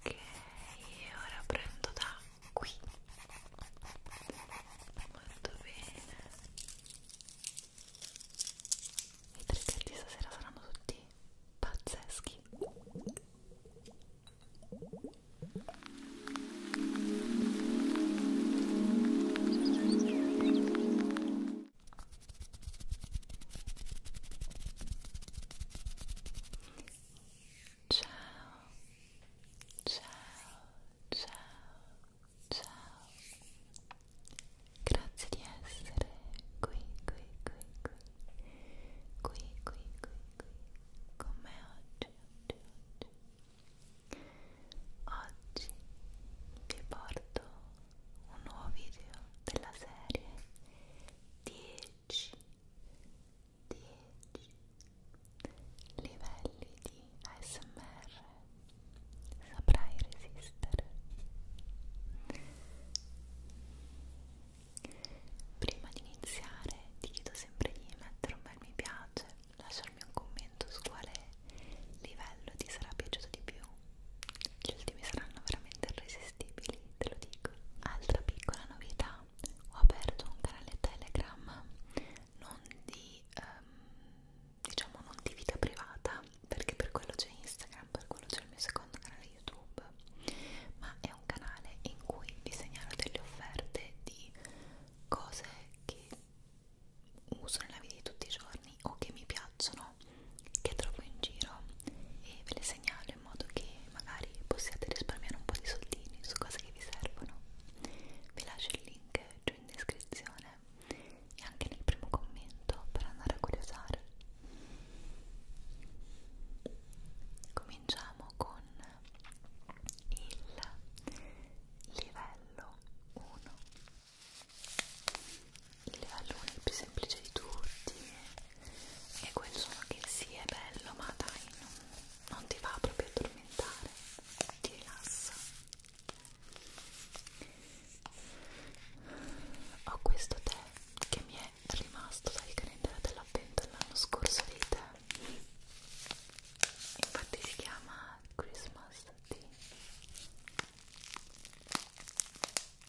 Ok, ora prendo da qui. Molto bene. I trigger di stasera saranno tutti pazzeschi. Ciao, ciao, ciao, ciao. Grazie di essere qui, qui, qui, qui, qui, qui, qui, qui, con me oggi, oggi, oggi. Oggi vi porto un nuovo video della serie 10 10 livelli di ASMR saprai resistere prima di iniziare ti chiedo sempre di mettere un bel mi piace lasciarmi un commento su quale livello ti sarà piaciuto di più gli ultimi saranno veramente irresistibili commestibili, te lo dico. Altra piccola novità, ho aperto un canale Telegram non di um, diciamo non di vita privata, perché per quello c'è Instagram, per quello c'è il mio secondo canale YouTube, ma è un canale in cui vi segnalo delle offerte di cose che uso nella vita di tutti i giorni o che mi piacciono che trovo in giro e ve le segnalo in modo che magari possiate risparmiare un po' di soldini su cose che vi servono vi lascio il link giù in descrizione e anche nel primo commento per andare a curiosare cominciamo con il livello 1 il livello 1 è il più semplice di tutti e quel suono che sì è bello ma dai non, non ti va proprio a addormentare ti rilassa ho questo tè che mi è rimasto dal calendario dell'avvento l'anno scorso dei tè infatti si chiama Christmas Tea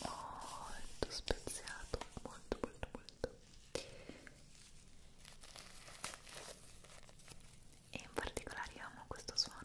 molto speziato molto molto molto e in particolare io amo questo suono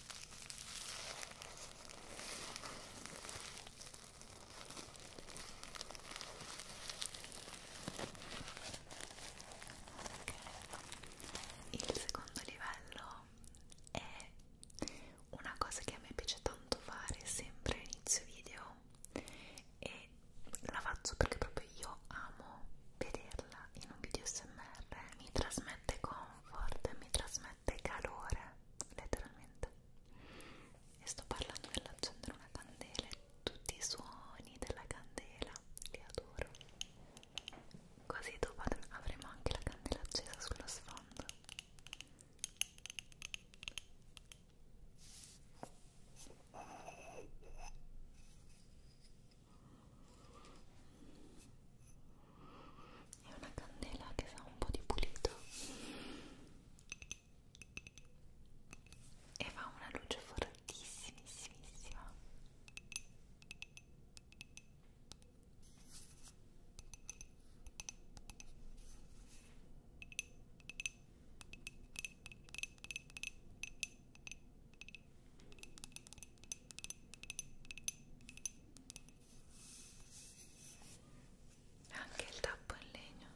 Il secondo livello è una cosa che a me piace tanto fare sempre all'inizio video e la faccio perché proprio io amo vederla in un video smr mi trasmette comfort mi trasmette grande calore, letteralmente. E sto parlando dell'accendere una candela e tutti i suoni della candela, li adoro. Così dopo avremo anche la candela accesa sullo sfondo è una candela che sa un po' di pulito e fa una luce fortissimissima anche il tappo in legno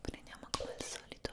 prendiamo come al solito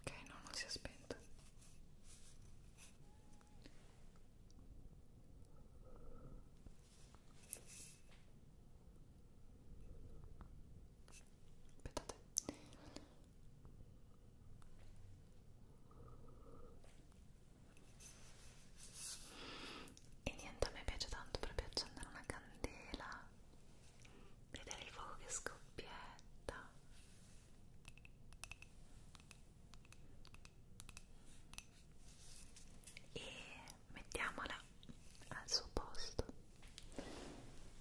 Ok, no, non si è spento. Aspettate e niente a me piace tanto proprio accendere una candela vedere il fuoco che scoppietta e mettiamola al suo posto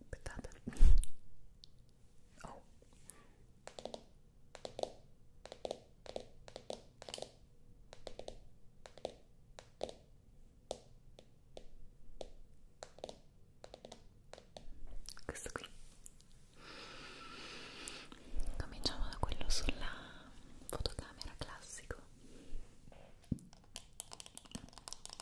aspettate oh questo qui cominciamo da quello sulla fotocamera classico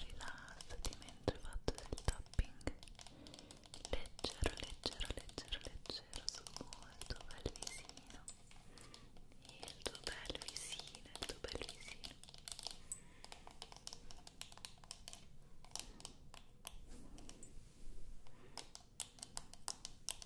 rilassati mentre faccio del tapping leggero, leggero, leggero, leggero sul tuo bel visino il tuo bel visino, il tuo bel visino Ecco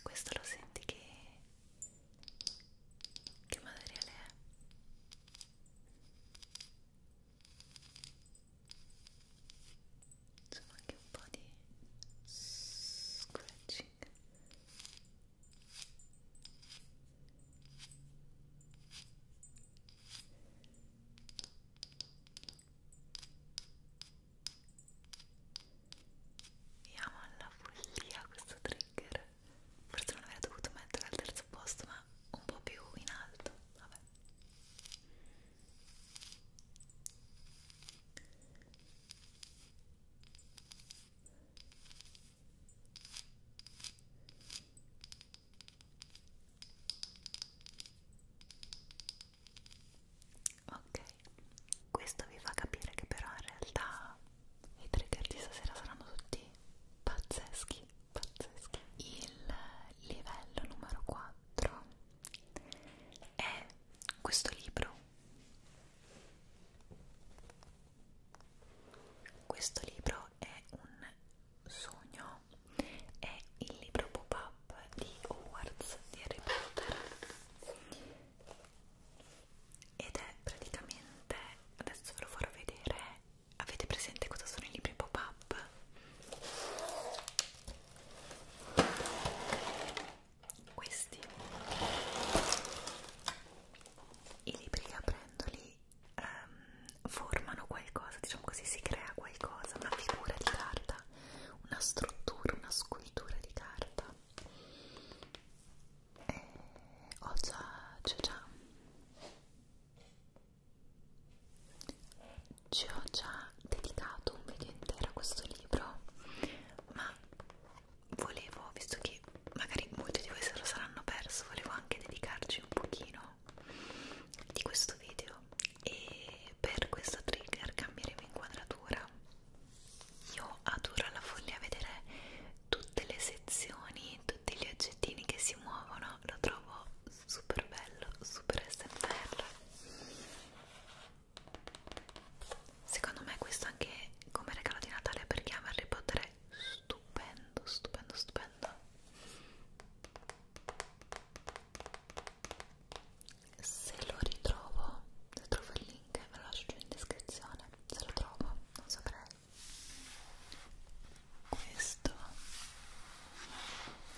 Questo lo senti che che materiale è? Insomma anche un po' di scratching mi ama alla follia questo trigger forse non avrei dovuto mettere al terzo posto ma un po' più in alto vabbè ok questo vi fa capire che però in realtà i trigger di stasera saranno tutti pazzeschi, pazzeschi. Il livello numero 4 è questo libro. Questo libro è un sogno, è il libro pop-up di Hogwarts di Harry Potter ed è praticamente adesso ve lo farò vedere avete presente cosa sono i libri pop-up? questi i libri che aprendoli um, ehm, formano qualcosa diciamo così si crea qualcosa una figura di carta una struttura una scultura di carta e eh, ho già, cioè già ci ho già dedicato un video intero a questo libro ma volevo, visto che magari molti di voi se lo saranno perso volevo anche dedicarci un pochino di questo video e per questo trigger cambieremo inquadratura io adoro alla follia vedere tutte le sezioni, tutti gli oggettini che si muovono, lo trovo super bello, super smr. Secondo me questo anche come regalo di Natale per chi ama Harry Potter è stupendo, stupendo, stupendo. Se lo ritrovo, se trovo il link ve lo lascio in descrizione, se lo trovo, non saprei questo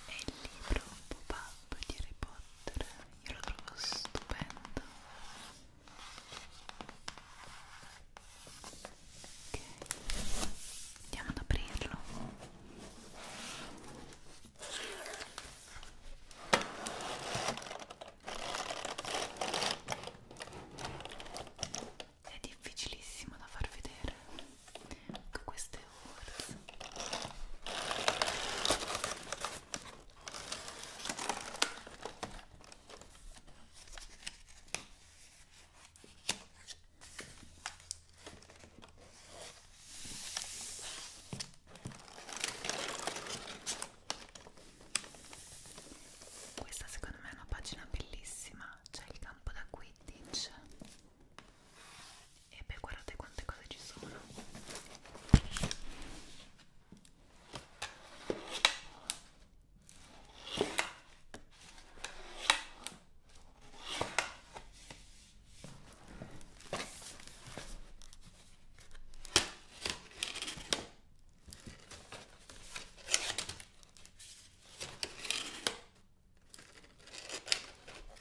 è il libro pop-up di Harry Potter, io lo trovo stupendo. Ok, andiamo ad aprirlo è difficilissimo da far vedere con queste ore questa secondo me è una pagina bellissima, c'è il campo da Quidditch e beh guardate quante cose ci sono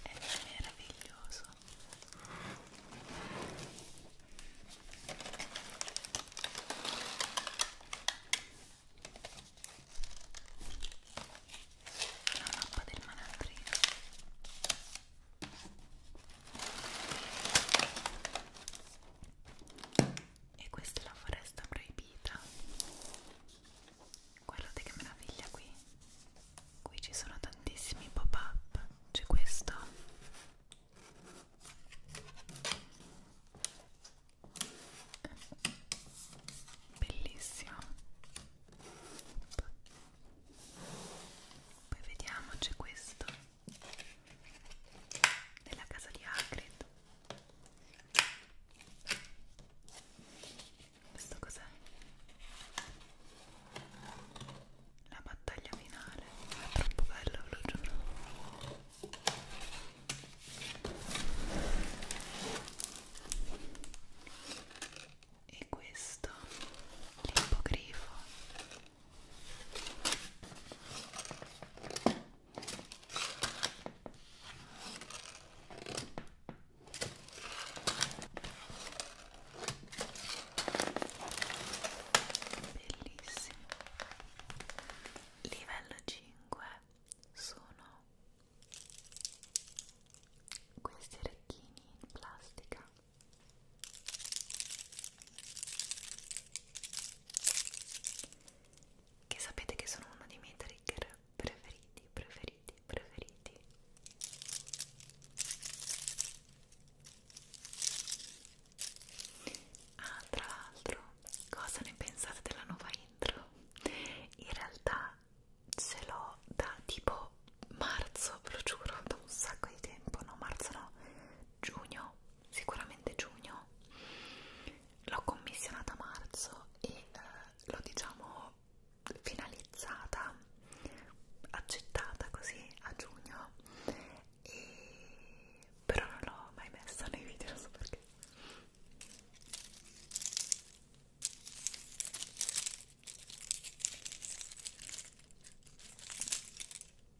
è meraviglioso la mappa del manandrino e questa è la foresta proibita guardate che meraviglia qui qui ci sono tantissimi pop up c'è questo bellissimo poi vediamo c'è questo nella casa di Hagrid questo cos'è? la battaglia finale ah, è troppo bello, ve lo giuro e questo l'ippogrifo Bellissimo. Livello 5 sono questi orecchini in plastica che sapete che sono uno dei miei trigger preferiti, preferiti, preferiti. Ah, tra l'altro, cosa ne pensate della nuova intro? In realtà ce l'ho da tipo marzo, ve lo giuro, da un sacco di tempo, no marzo no, giugno sicuramente giugno l'ho commissionata a marzo e eh, l'ho diciamo finalizzata accettata così a giugno e... però non l'ho mai messa nei video non so perché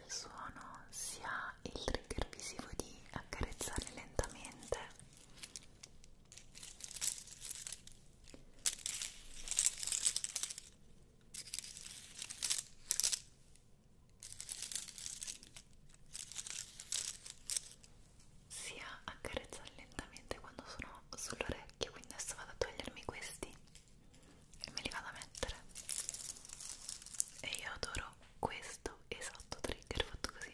nel suono si ha il trigger visivo di accarezzare lentamente si ha accarezzare lentamente quando sono sull'orecchio quindi adesso vado a togliermi questi e me li vado a mettere e io adoro farò questo esatto trigger fatto così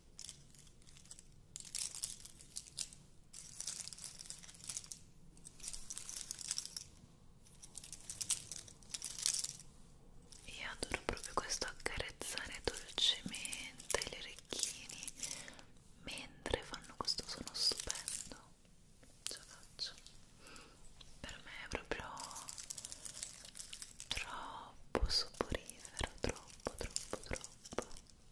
Io adoro proprio questo accarezzare dolcemente gli orecchini mentre fanno questo suono stupendo. Ce la faccio. Per me è proprio troppo soporifero, troppo, troppo, troppo.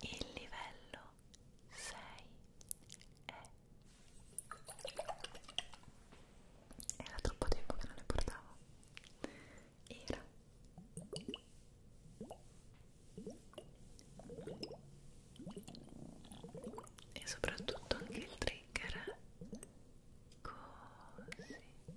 il livello 6 è era troppo tempo che non ne portavo era e soprattutto anche il trigger eh? così e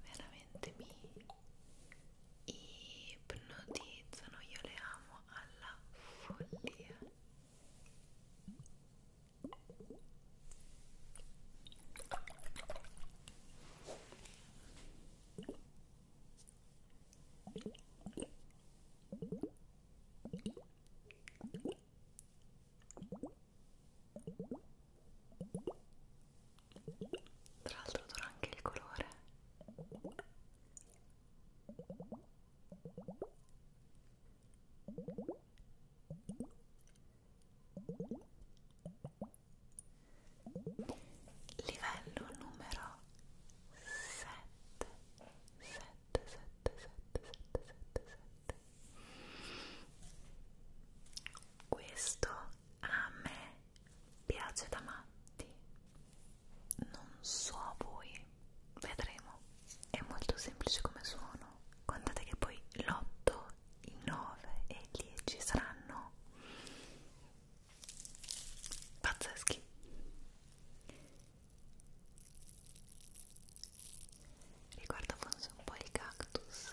veramente mi ipnotizzano io le amo alla follia tra l'altro dura anche il colore Livello numero 7 7 7 7 7 7 7 Questo a me piace da matti non so a voi sì, vedremo. È molto semplice come suono. Contate che poi l'8, il 9 e il 10 saranno pazzeschi. Riguarda forse un po' il cactus.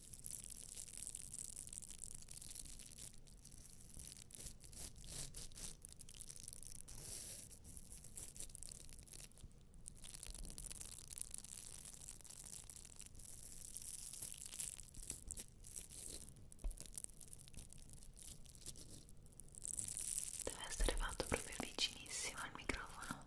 Deve essere fatto proprio vicinissimo al microfono.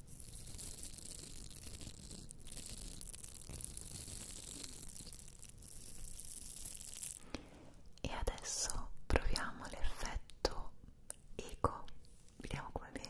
E adesso proviamo l'effetto eco, vediamo come viene.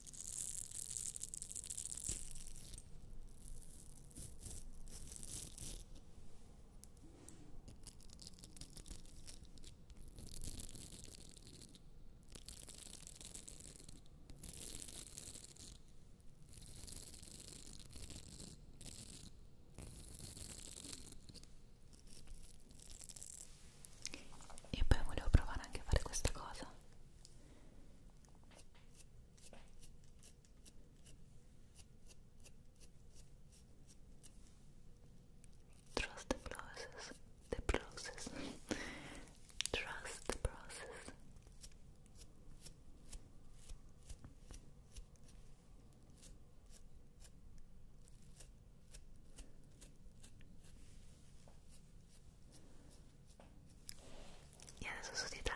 E poi volevo provare anche a fare questa cosa Trust the process. The process. Trust the process. e adesso su di te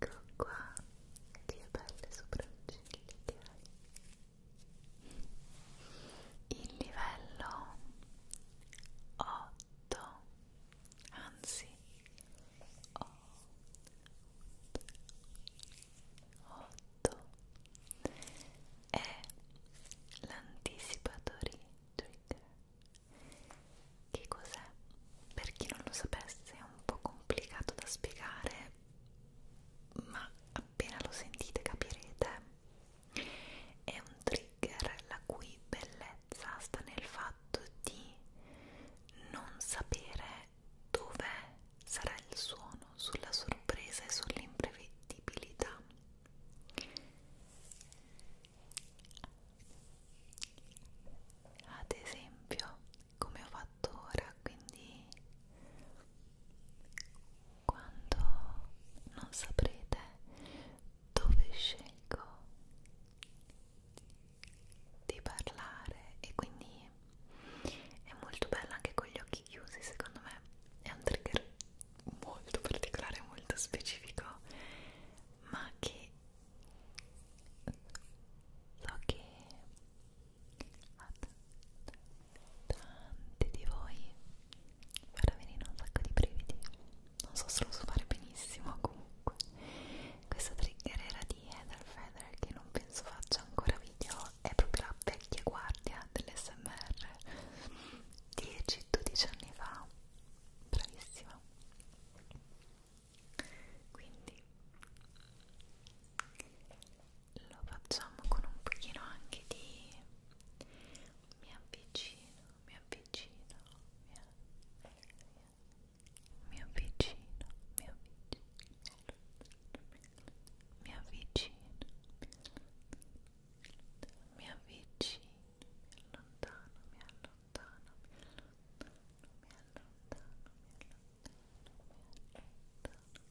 Ecco qua, che belle sopracciglia che hai il livello 8 anzi 8 8 è l'anticipatory trigger che cos'è? per chi non lo sapesse è un po' complicato da spiegare ma appena lo sentite capirete è un trigger la cui bellezza sta nel fatto di non sapere dove sarà il suono sulla sorpresa e sull'imprevedibilità ad esempio come ho fatto fattura quindi quando non saprete dove scelgo di parlare e quindi è molto bella anche con gli occhi chiusi secondo me è un trigger molto particolare molto specifico ma che so che a tanti di voi farà venire un sacco di brividi non so se lo so fare benissimo comunque questa trigger era di Heather Feather che non penso faccia ancora video è proprio la vecchia guardia dell'SMR 10-12 anni fa bravissima quindi lo facciamo con un pochino anche di mi avvicino, mi avvicino, mi avvicino, mi avvicino, mi avvicino, mi avvicino, mi avvicino, mi allontano, mi allontano, mi allontano, mi allontano, mi allontano, mi allontano.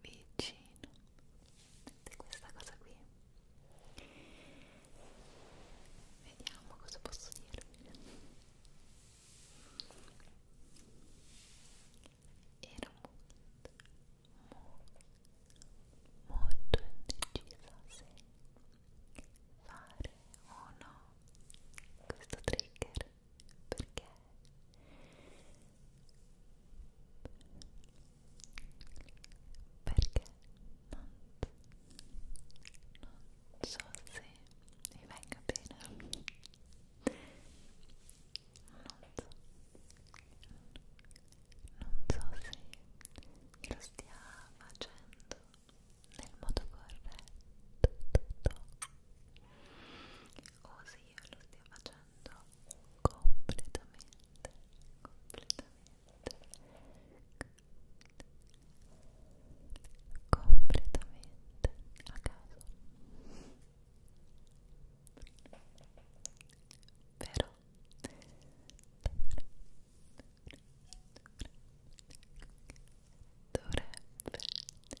vicino vedete questa cosa qui vediamo cosa posso dirvi ero molto molto indecisa se fare o no questo trigger perché perché non, non so se mi venga bene non so non so se lo stia facendo nel modo corretto o se io lo stia facendo completamente, completamente, completamente a caso. Però dovrebbe essere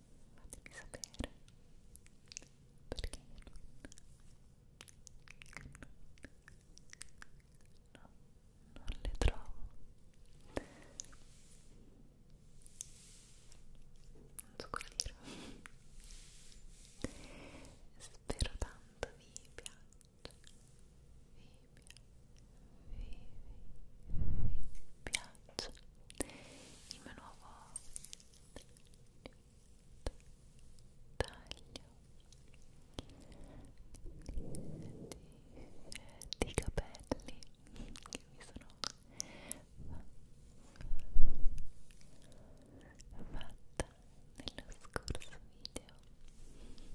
fatemi sapere perché non, no, non le trovo non so cosa dire spero tanto vi piaccia vi, vi, vi, vi piaccia il mio nuovo il di, di capelli che mi sono fatta nello scorso video io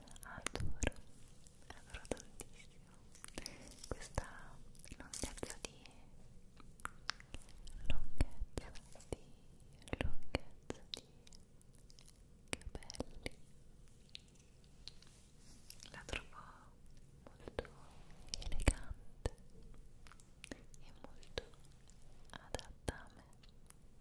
adoro adoro tantissimo questa lunghezza di lunghezza di lunghezza di capelli la trovo molto elegante e molto adatta a me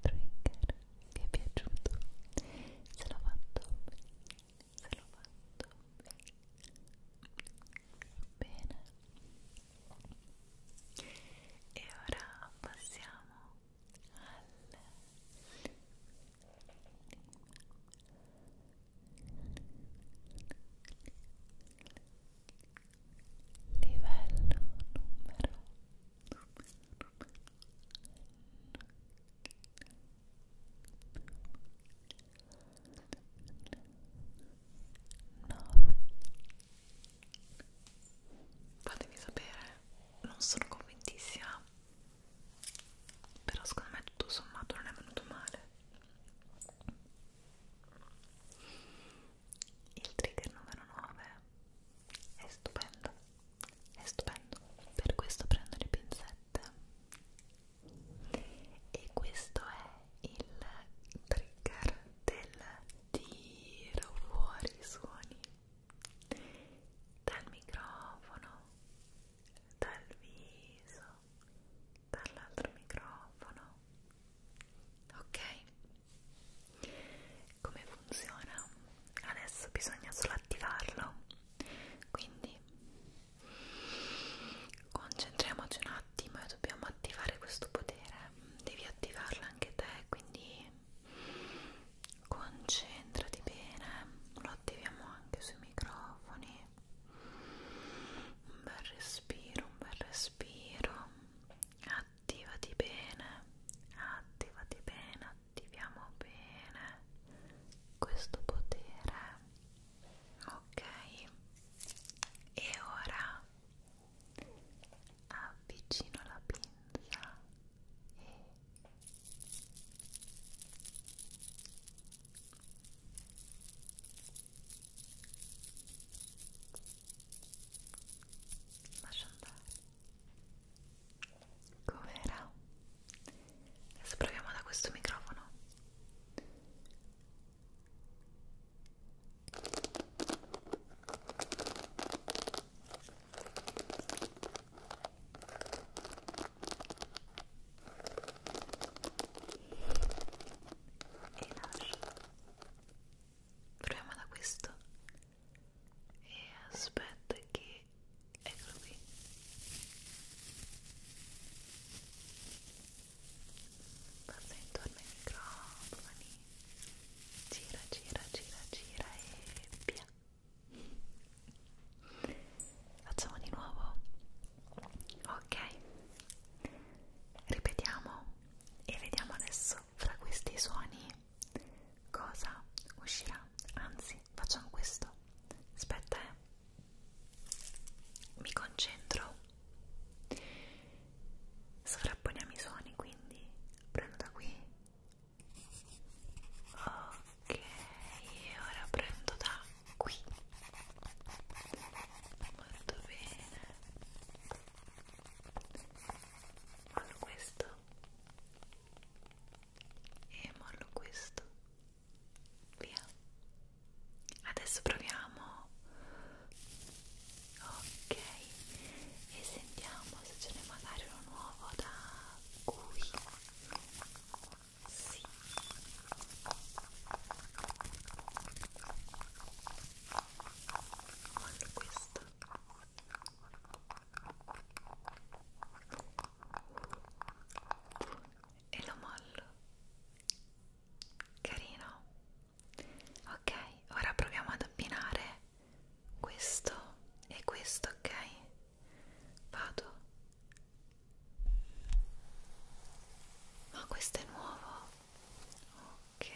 trigger vi è piaciuto se l'ho fatto se l'ho fatto bene e ora passiamo al livello numero 3 fatemi sapere non sono convintissima però secondo me tutto sommato non è venuto male il trigger numero 9 è stupendo, è stupendo. Per questo prendo le pinzette e questo è il trigger del tiro fuori i suoni dal microfono, dal viso, dall'altro microfono. Ok? come funziona adesso bisogna solo attivarlo quindi concentriamoci un attimo e dobbiamo attivare questo potere devi attivarlo anche te quindi concentrati bene lo attiviamo anche sui microfoni un bel respiro un bel respiro attivati bene attivati bene attiviamo bene questo potere ok e ora avvicino la pinza e lascia andare Com'era? Adesso proviamo da questo microfono. E lascio. Proviamo da questo e aspetta che eccolo qui passa intorno ai microfoni gira gira gira gira e via facciamo di nuovo ok ripetiamo e vediamo adesso fra questi suoni cosa uscirà anzi facciamo questo aspetta eh mi concentro sovrapponiamo i suoni quindi prendo da qui ok e ora prendo da qui molto bene Fanno questo e mollo questo via adesso proviamo ok e sentiamo se ce n'è magari uno nuovo da cui sì mollo questo e lo mollo carino ok ora proviamo ad abbinare questo e questo ok vado ma questo è nuovo ok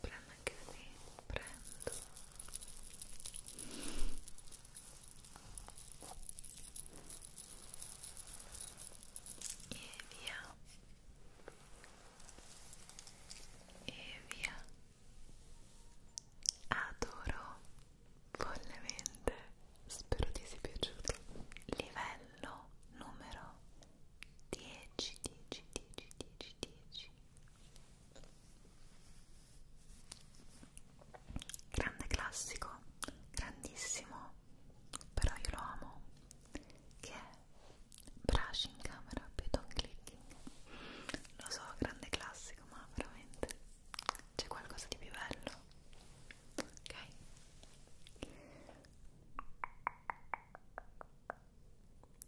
prendo anche da me prendo e via e via adoro follemente spero ti sia piaciuto livello numero 10, 10, 10, 10, 10. Grande classico, grandissimo, però io lo amo, che è Brush in camera, Python clicking. Lo so, grande classico, ma veramente c'è qualcosa di più bello. Ok?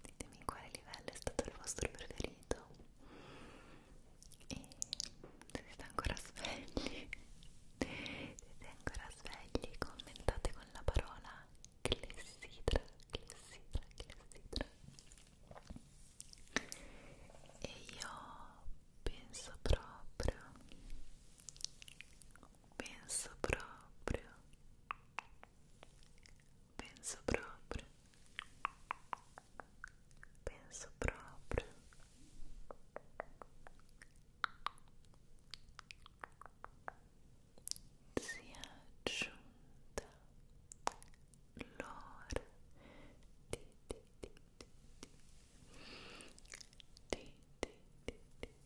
ditemi quale livello è stato il vostro preferito e se siete ancora svegli se siete ancora svegli commentate con la parola clessidra clessidra clessidra e io penso proprio penso proprio Penso proprio. Penso proprio. Si è aggiunta l'ora di di di di di di di di di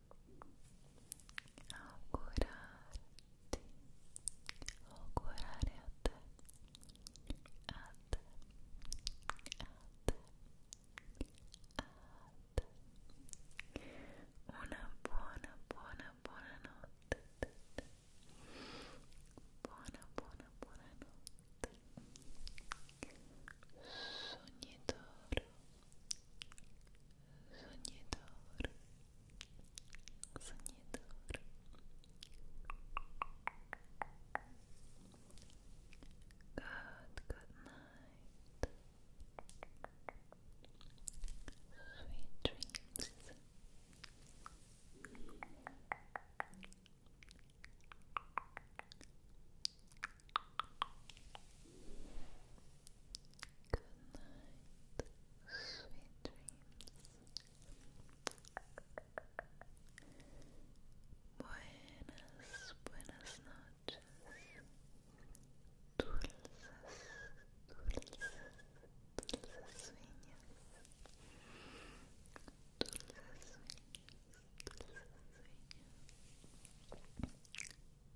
augurarti, augurare a te, a te, a te, a te, una buona, buona, buona notte, buona, buona, buona notte, sognatore. sognatore sognatore good, good night sweet dreams sweet dreams. Buenas, buenas noches. Dulces, dulces, dulces sueños. Dulces sueños, dulces sueños.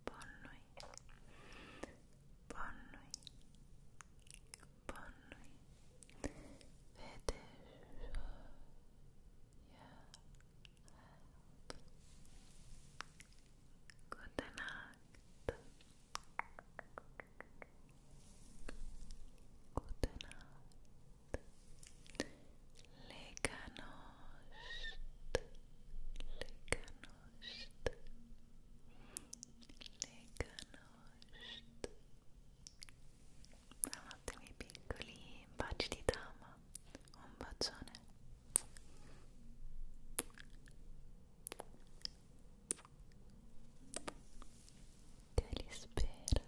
Bonne nuit. Bonne nuit. Bonne nuit. Finish your Gute Nacht. Gute Legganost, legganost, legganost. Buonanotte piccoli, baci di dama, un bacione. Te li spero.